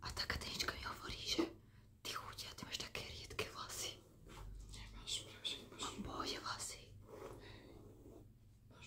A tá Katenička mi hovorí, že ty chudia, ty máš také riedké vlasy. Nemáš, prosím, prosím. Mám bohode vlasy. Hej, máš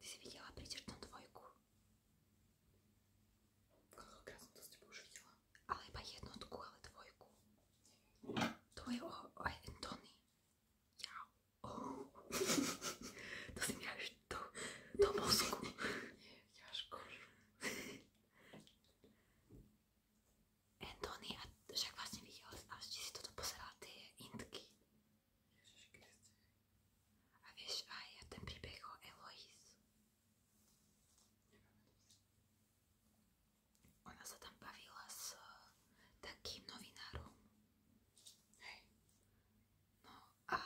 Ty si videla príčertnú dvojku? Koľkokrát som to s tebou už videla? Ale iba jednotku, ale dvojku. To je o, o Antony. Jau. Oh. to si mi až do, do mozku. Ťažko. Antony, a však vlastne videla, až si toto pozerala tie indky. Ježiš Kriste. A vieš aj ten príbeh o Eloise. Ona sa tam bavila s eh, takým novinárom. Hej. No a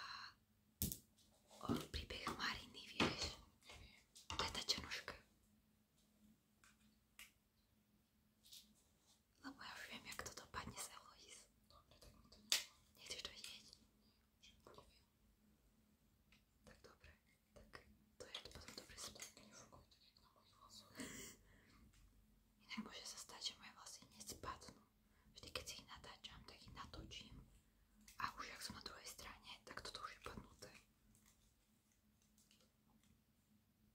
o príbeh Mariny, vieš? To je tá černoška. Lebo ja už viem, jak to dopadne s Eloís. Nejdeš to vidieť? Tak dobre, tak to je potom dobre splnené. Inak môže sa stať, že moje vlasy nespadnú. Vždy, keď si ich natáčam, tak ich natočím. A už ak som na druhej strane, tak toto už je padnuté.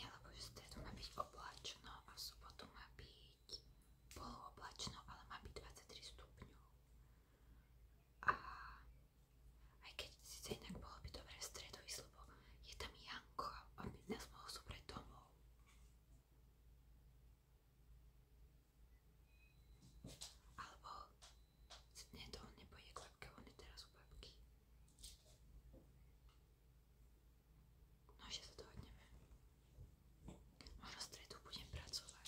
Nie, lebo v stredu má byť oblačno a v sobotu má byť polooblačno, ale má byť 23 stupňov. A aj keď síce inak bolo by dobre v stredu ísť, lebo je tam Janko a by nás mohol zobrať domov. Alebo nie, to on nepojde k babke, on je teraz u babky. No ešte sa dohodneme. Možno stredu budem pracovať.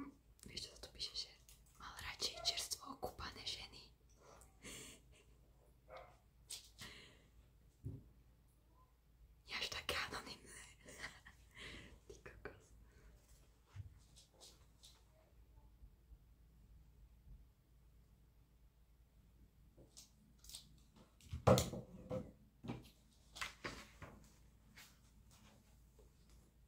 Mm ešte sa tu píše, že mal radšej čerstvo okúpané ženy. Je až také anonimné. Ty kokos.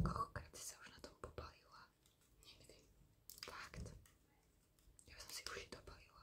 Koľkokrát si sa už na tom popalila? Nikdy. Fakt. Ja som si uši dopalila.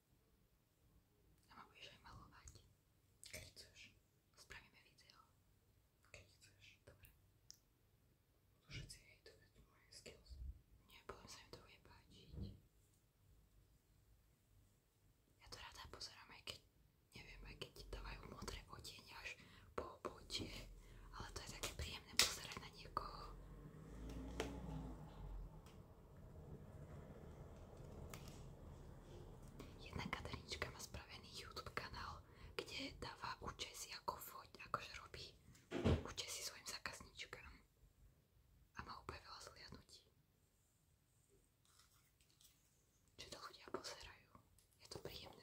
A ma budeš aj malovať. Keď chceš. Spravíme video. Keď chceš. Dobre. Všetci hejtovať moje skills. Nie, potom sa im to bude páčiť. Ja to rada pozerám, aj keď, neviem, aj keď ti dávajú modré odenie až po obočie, ale to je také príjemné pozerať na niekoho. Jedna Katerička má spravený YouTube kanál, kde dáva účesy ako foť, akože robí účesy svojim zákazníčkám. A má úplne veľa zliadnutí. Čo to ľudia pozerajú. Je to príjemné.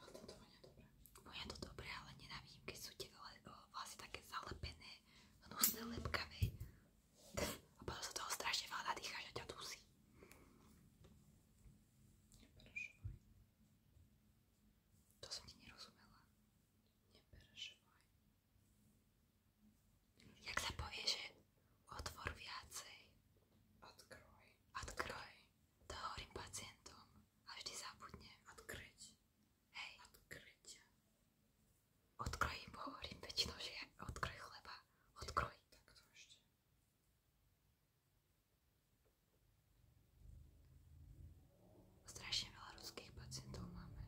Ale toto vonia dobre. Vonia to dobre, ale nenavím, keď sú tie vlasy také zalepené, hnusné, lepkavé. A potom sa toho strašne veľa nadýcháš a ťa dusí. Neperešovaj. To som ti nerozumela. Neperešovaj. Jak sa povie, že otvor viacej? Odkroj. Odkroj. To hovorím pacientom a vždy zabudne. Odkryť. Hej. Odkryť. Odkrojím, hovorím väčšinou, že ja odkroj chleba. Odkroj. Takto ešte. Strašne veľa ruských pacientov máme.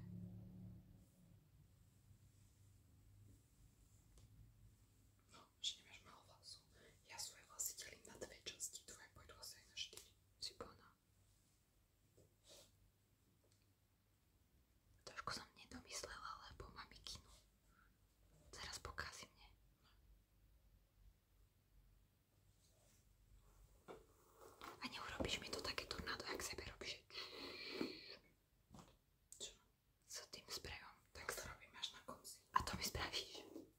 No, že nemáš malo vlasov. Ja svoje vlasy delím na dve časti. Tvoje pôjdu asi aj na štyri. Šipona. Trošku som nedomyslela, lebo mám mikinu. Teraz pokazí mne. A neurobíš mi to také tornádo, jak sebe robíš. Čo? S tým sprejom. Tak to robím až na konci. A to mi spravíš.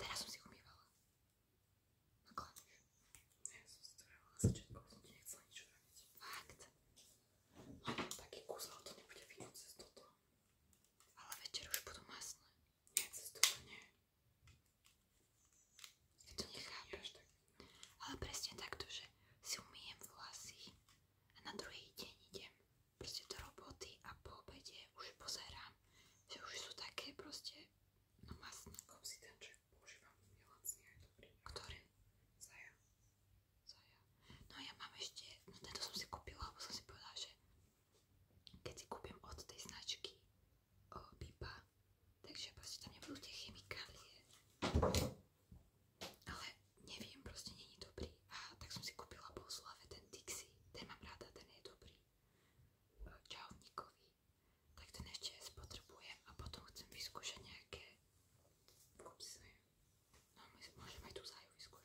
Teraz som si umývala. No kladíš. Ja som si to dávala začiatku, som ti nechcela nič raniť. Fakt. Mám taký kus, ale to nebude vidieť cez toto. Ale večer už budú masné. Nie, cez toto nie. Ja to nechápem. Ale presne takto, že si umýjem vlasy a na druhý deň idem proste do roboty a po obede už pozerám, že už sú také proste no masné. Obsidianček používam, je lacný aj dobrý. Ktorý? Zaja. Zaja. No ja mám ešte, no tento som si kúpila, lebo som si povedala, že keď si kúpim od tej značky o, takže proste tam nebudú tie chemikálie. Ale neviem, proste není dobrý dobrý, tak som si kúpila po Slave ten Dixie, ten mám rada, ten je dobrý. Čauníkový. Tak ten ešte spotrebujem a potom chcem vyskúšať nejaké... Kúp si zaju. No my môžeme aj tú zaju vyskúšať.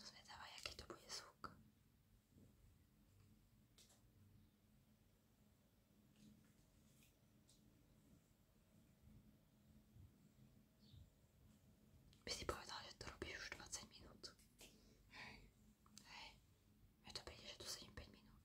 Zvedavá, jaký to bude zvuk. By si povedal, že to robíš už 20 minút. Hej, hej. Mne to príde, že tu sedím 5 minút.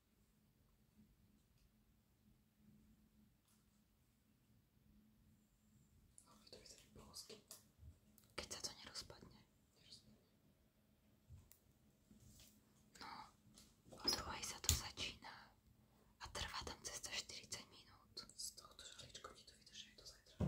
Ale to vyzerá polsky. Keď sa to nerozpadne. Nerozpadne. No, o druhej sa to začína a trvá tam cesta 40 minút. Z tohto žaličko ti to vydrží aj do zajtra.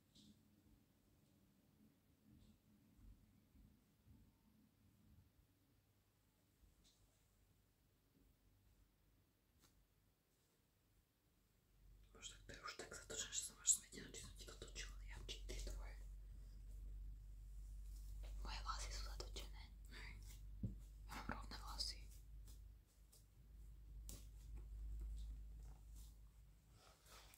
Máš tak, to je už tak zatočené, že som až smetená, či som ti to točila ja, či ty tvoje. Moje vlasy sú zatočené. Hej. Ja mám rovné vlasy.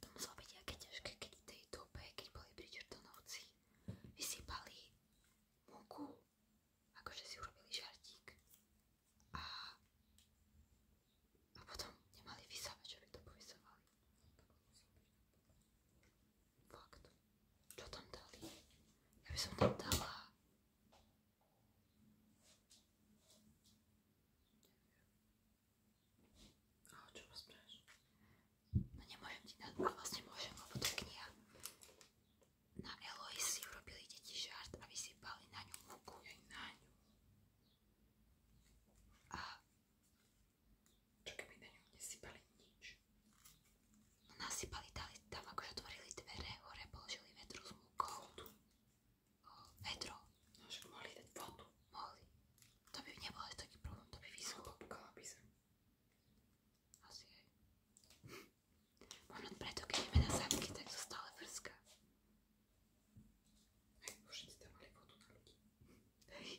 To muselo byť aké ťažké, keď v tej dobe, keď boli pričertonovci, vysypali múku, akože si urobili žartík a, a potom nemali vysávač, aby to povysávali. Fakt. Čo tam dali? Ja by som tam dala... Neviem. Ale čo rozpráš? No nemôžem no vlastne kniha. Na Eloise si urobili deti žart a vysypali na ňu múku. na ňu. Čo keby na ňu nesypali nič? No, nasypali dali tam, akože otvorili dvere, hore položili vedru s múkou. Vodu. O, vedro. No však mohli dať vodu. Mohli. To by nebol až taký problém, to by vyschlo. No, popukala by sem. Asi aj. Možno preto, keď ideme na zámky, tak to stále vrská. Hej, všetci tam mali vodu na ľudí. Hej.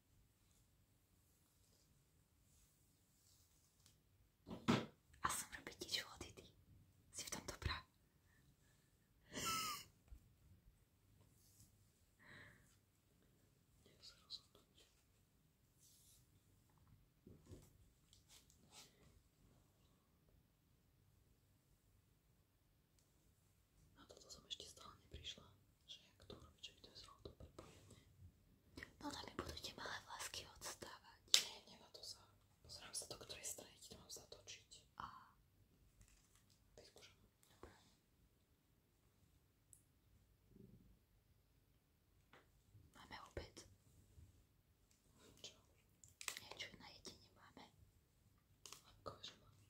A som robiť nič vody, ty. Si v tom dobrá. Nie sa rozhodnúť. Na toto som ešte stále neprišla že jak to urobí, to je zlato prepojenie. No tam mi budú tie malé vlásky odstávať. Nie, nemá to sa. Pozerám sa do ktorej strany ti to mám zatočiť. A. Vyskúšam. Dobre. Máme obed. Čo? Niečo na jedenie máme. Ako, že máme?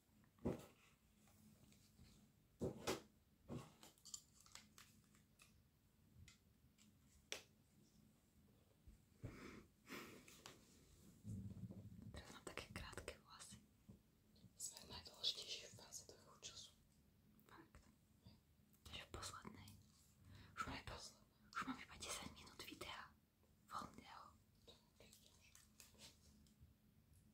Teraz mám také krátke vlasy. Sme v najdôležitejšej fáze toho času. Fakt. Takže v poslednej. Už mám, iba, už mám iba 10 minút videa. Voľného.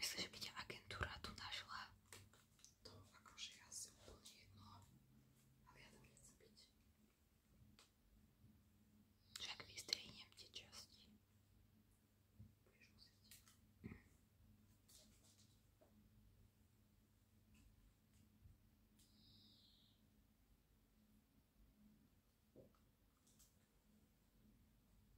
Myslím, že by ťa agentúra tu našla. To akože ja si úplne jedno, ale ja tam nechcem byť. Však vystrihnem tie časti. Budeš musieť. Mm.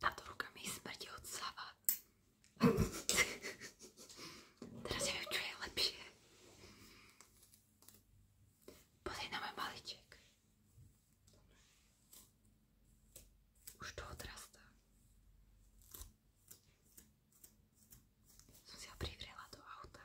Táto ruka mi smrdí od sava. Teraz ja viem, čo je lepšie. Pozri na môj maliček. Už to odrastá. Som si ho privrela do auta.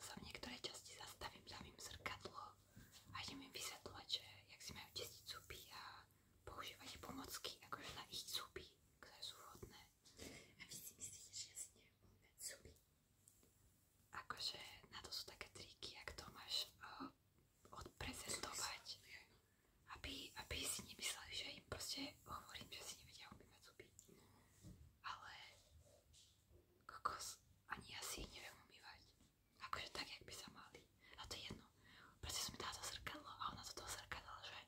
sa v niektorej časti zastavím, dám im zrkadlo a idem im vysvetľovať, že jak si majú testiť zuby a používať pomocky akože na ich zuby, ktoré sú vhodné. A vy si myslíte, že ja si neviem umývať zuby? Akože na to sú také triky, ak to máš uh, odprezentovať, aby, aby si nemysleli, že im proste hovorím, že si nevedia umývať zuby. Ale kokos, ani ja si ich neviem umývať. Akože tak, jak by sa mali. A no to je jedno. Proste som mi dala to zrkadlo a ona to toho zrkadla, že?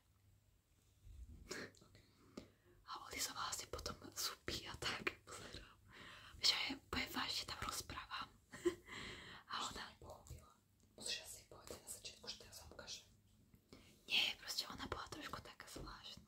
A olizovala si potom zupy a tak. Pozerám. Vieš, ja poviem vážne, tam rozprávam. a ona... Musíš asi povedať na začiatku, že teraz vám ukážem. Nie, proste ona bola trošku taká zvláštna.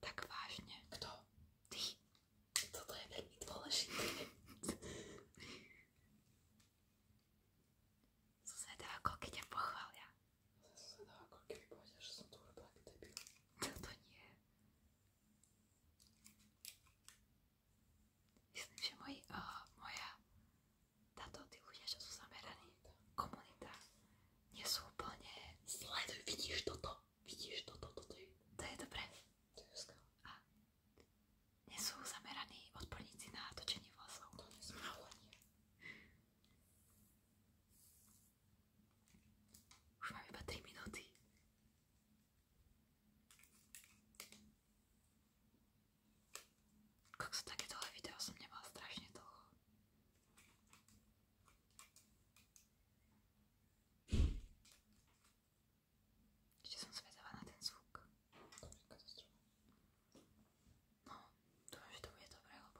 Tak vážne. Kto? Ty. Toto je veľmi dôležité. Susedá ako keď ťa pochvália. Susedá ako keby povedia, že som tu urobila aký debil. Toto nie. Myslím, že moj, uh, eh, moja táto, tí ľudia, čo komunita, nie sú úplne... vidíš toto? Vidíš, toto, toto je... To je dobré. To je A nie sú zameraní odborníci na točenie vlasov. To nie sú ale nie. Už mám iba 3 minúty. Kokso, také tohle video som nemala strašne dlho. Ešte som zvedavá na ten zvuk. No, dúfam, že to bude dobré, lebo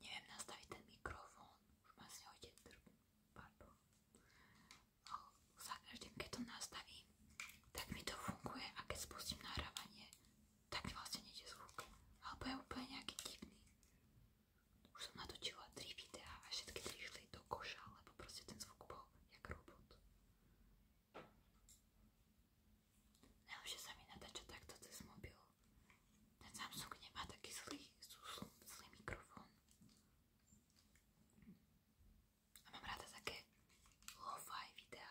neviem nastaviť ten mikrofón. Už ma z neho ide drb. Pardon. No, za každým, keď to nastavím, tak mi to funguje a keď spustím nahrávanie, tak vlastne nejde zvuk. Alebo je úplne nejaký divný. Už som natočila 3 videá a všetky 3 išli do koša, lebo proste ten zvuk bol jak robot. Najlepšie sa mi natáča takto cez mobil. Ten Samsung nemá taký zlý, zlý, zlý mikrofón. A mám rada také lo-fi videá.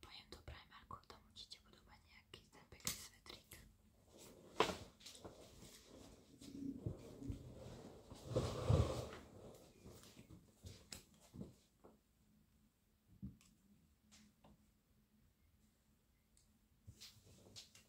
Pojem do Primarku, tam určite budú mať nejaký ten pekný svetrík.